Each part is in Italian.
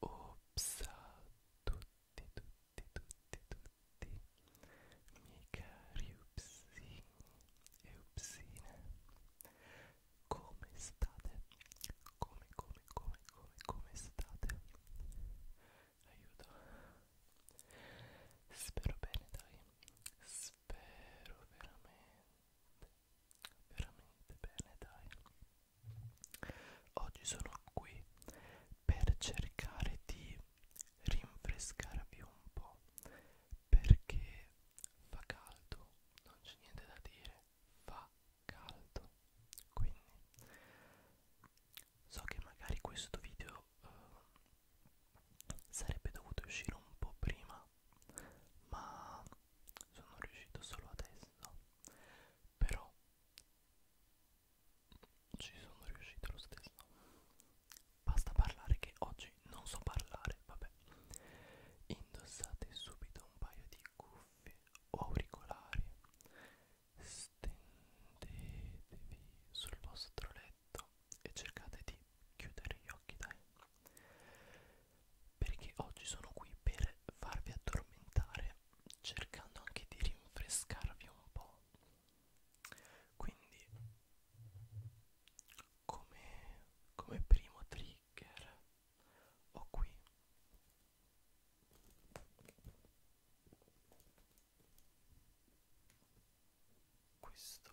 Ops a tutti, tutti, tutti, tutti, miei cari e upsine, come state? Come, come, come, come, come state? aiuto spero bene dai spero veramente veramente bene dai oggi sono qui per cercare di rinfrescarvi un po' perché fa caldo non c'è niente da dire fa caldo quindi so che magari questo video eh, sarebbe dovuto uscire un po' prima ma sono riuscito solo adesso però ci sono riuscito lo stesso basta parlare che oggi non so parlare vabbè indossate subito un paio di cuffie o auricolari Stendetevi sul vostro letto e cercate di chiudere gli occhi, dai. Perché oggi sono qui per farvi addormentare, cercando anche di rinfrescarvi un po'. Quindi, come, come primo trigger, ho qui questo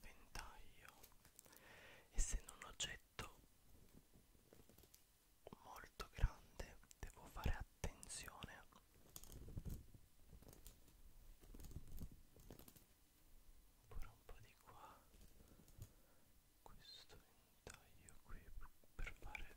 ventaglio essendo un oggetto molto grande devo fare attenzione ancora un po' di qua questo ventaglio qui per fare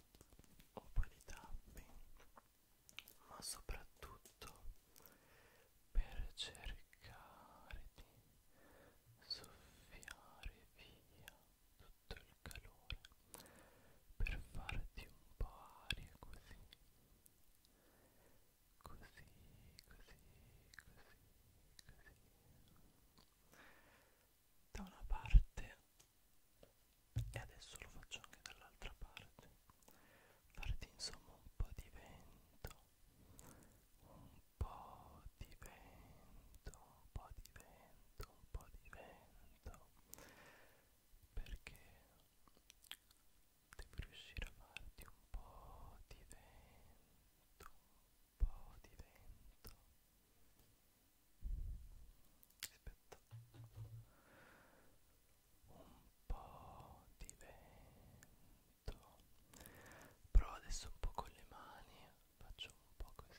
open it up ma soprattutto per cercare di soffiare via tutto il calore per farti un po' aria così così così così così da una parte e adesso lo faccio anche dall'altra parte farti insomma un po' di vento un po' di vento un po' di vento un po' di vento perché devi riuscire a farti un po' di vento un po' di vento aspetta un po' di vento provo adesso un po' con le mani faccio un po' così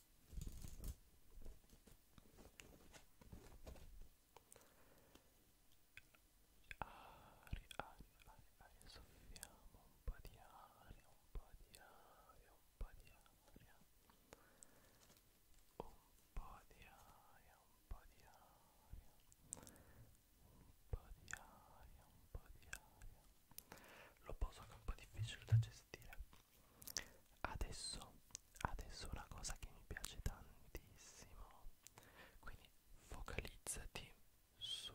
aria, aria, aria, soffiamo un po' di aria, un po' di aria, un po' di aria, un po' di aria, un po' di aria, un po' di aria, Lo poso che è un po' difficile da gestire. Adesso, adesso una cosa che mi piace tantissimo. Quindi focalizzati su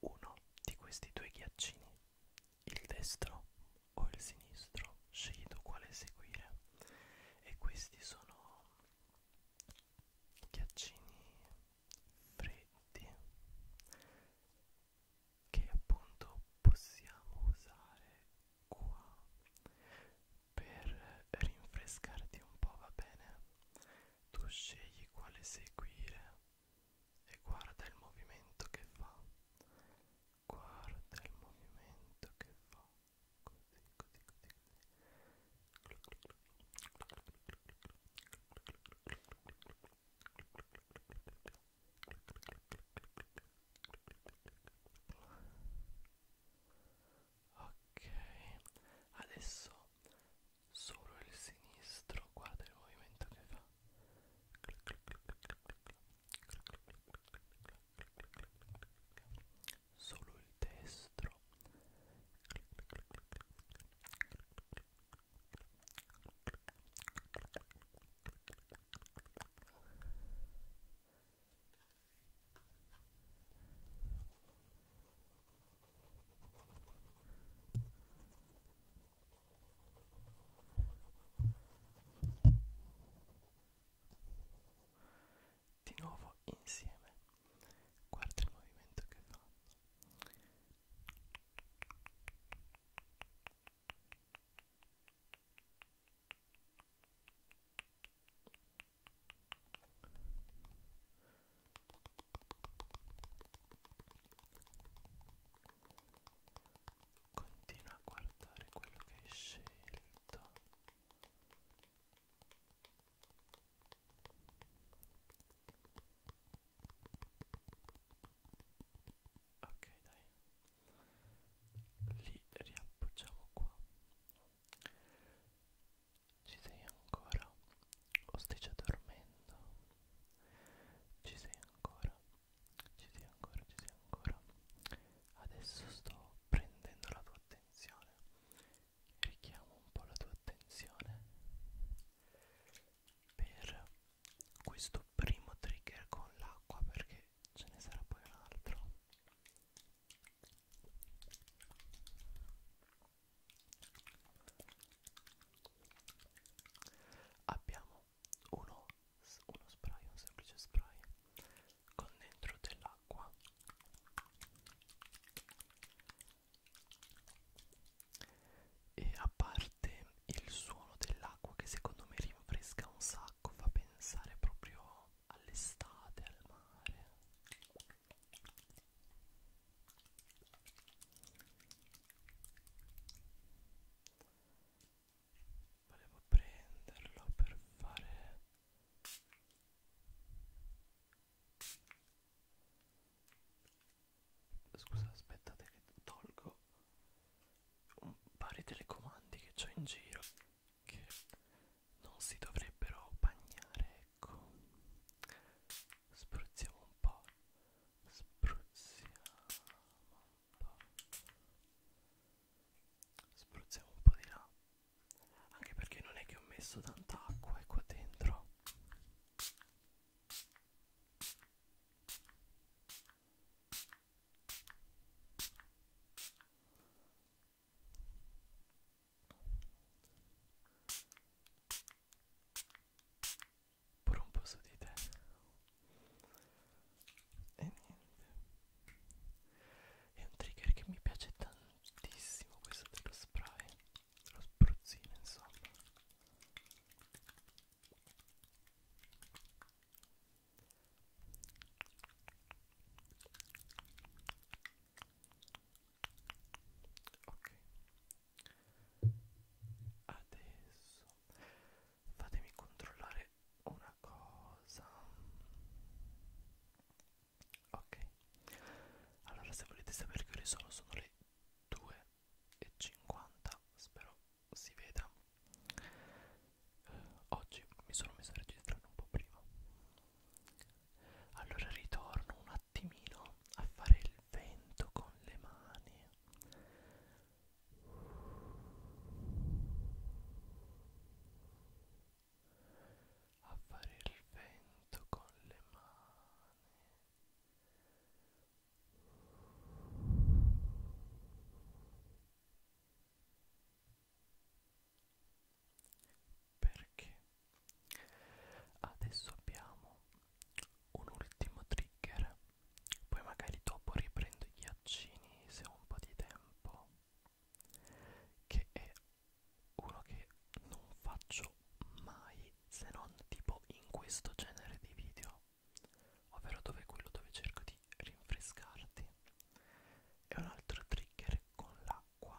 uno di questi due ghiaccini, il destro o il sinistro, scegli tu quale seguire. E questi sono ghiaccini freddi che appunto possiamo usare qua per rinfrescarti un po' va bene tu scegli quale seguire e guarda il movimento che fa guarda il movimento che fa Ok, adesso solo il sinistro, guarda il movimento che fa solo il destro di nuovo insieme guarda il movimento che fanno Continua a guardare quello che hai scelto Ok dai, li riappoggiamo qua. Ci sei ancora? O stai già dormendo? Ci sei ancora? Ci sei ancora? Ci sei ancora? adesso sto prendendo la tua attenzione richiamo un po' la tua attenzione per questo primo trigger con l'acqua perché ce ne sarà poi un altro abbiamo uno, uno spray, un semplice spray con dentro dell'acqua e a parte il suono dell'acqua che secondo me rinfresca un sacco fa pensare proprio all'estate al mare volevo prenderlo per fare scusa aspettate che tolgo un pari telecomandi che ho in giro che non si dovrebbero bagnare ecco spruzziamo un po' spruzziamo spruzziamo un po' di là anche perché non è che ho messo tanta acqua è ecco, qua dentro pure un po' su di te e niente è un trigger che mi piace tantissimo questo dello spray lo spruzzino insomma Ok, adesso fatemi controllare una cosa ok allora se volete sapere che ore sono sono le 2.50 spero si veda eh, oggi mi sono messo a registrare un po' prima allora ritorno un attimino a fare il vento con le mani a fare il vento con le mani perché adesso abbiamo un ultimo trigger poi magari dopo riprendo gli accini se ho un po' di tempo che è uno che non faccio mai se non tipo in questo genere di video ovvero dove è quello dove cerco di rinfrescarti e un altro trigger con l'acqua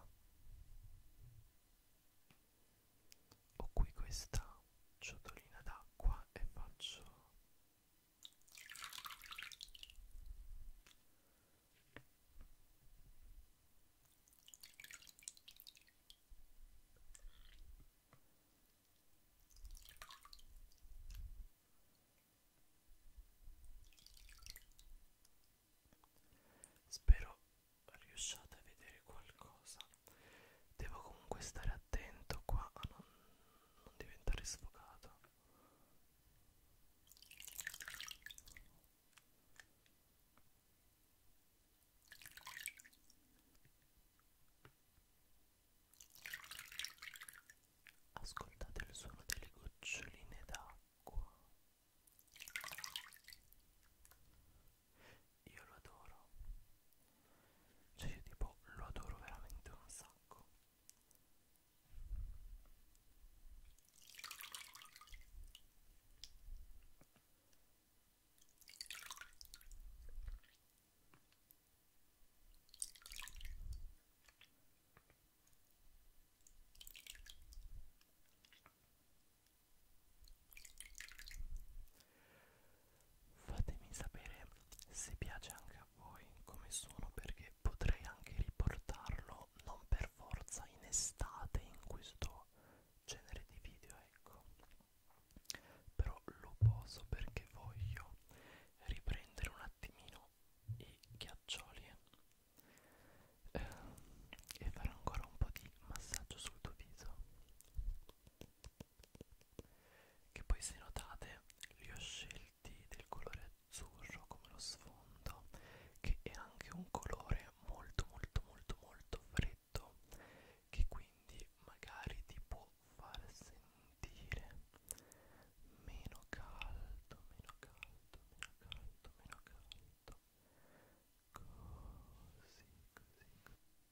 ho qui questa ciotolina d'acqua e faccio Spero riusciate a vedere qualcosa. Devo comunque stare attento qua a non non diventare sfocata ascoltate il suono delle goccioline d'acqua io lo adoro cioè io tipo lo adoro veramente un sacco Fatemi sapere se piace anche a voi come suono perché potrei anche riportarlo non per forza in estate in questo genere di video ecco però lo poso perché voglio riprendere un attimino i ghiaccioli eh, e fare ancora un po' di massaggio sul tuo viso che poi se notate li ho scelti del colore azzurro come lo sfondo che è anche un colore molto molto molto molto freddo che quindi magari ti può far sentire meno caldo meno caldo meno caldo meno caldo così così così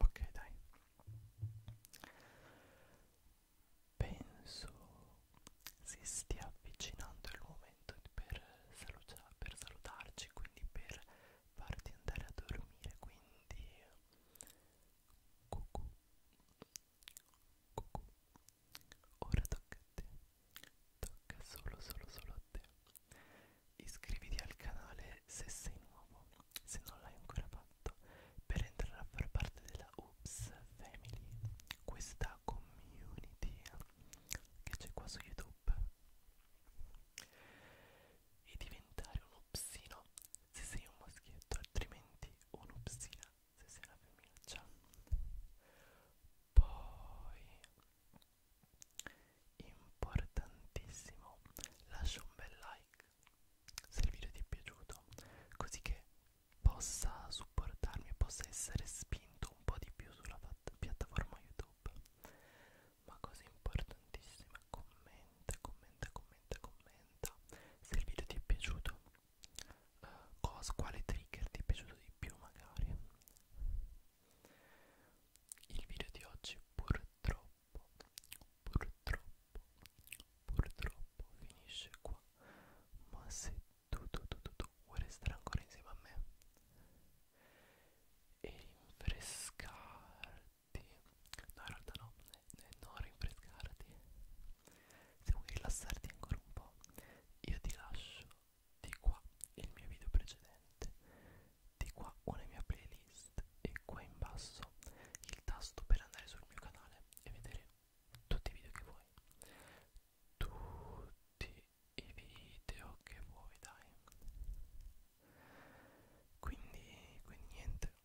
Ok, dai. Penso si stia avvicinando il momento per, saluta per salutarci, quindi per farti andare a dormire, quindi cucù Cucù. Ora tocca a te. Tocca solo, solo, solo a te. Iscriviti al canale se sei nuovo, se non l'hai ancora fatto, per entrare a far parte della Oops Family, questa community che c'è qua su YouTube. E diventare un upsino se sei un maschietto, altrimenti un'upsina se sei una femminuccia poi importantissimo lascia un bel like se il video ti è piaciuto così che possa supportarmi e possa essere spinto un po' di più sulla piattaforma youtube ma cosa importantissima commenta commenta commenta commenta se il video ti è piaciuto uh, cosa, quale trigger ti è piaciuto di più magari il video di oggi purtroppo purtroppo purtroppo finisce qua ma se tu tu tu tu, tu vuoi restare ancora insieme a me e rinfrescarti no in realtà no, no, eh, non rinfrescarti se vuoi rilassarti ancora un po', io ti lascio di qua il mio video precedente, di qua una mia playlist e qua in basso il tasto per andare sul mio canale e vedere tutti i video che vuoi. Tutti i video che vuoi, dai. Quindi, quindi niente,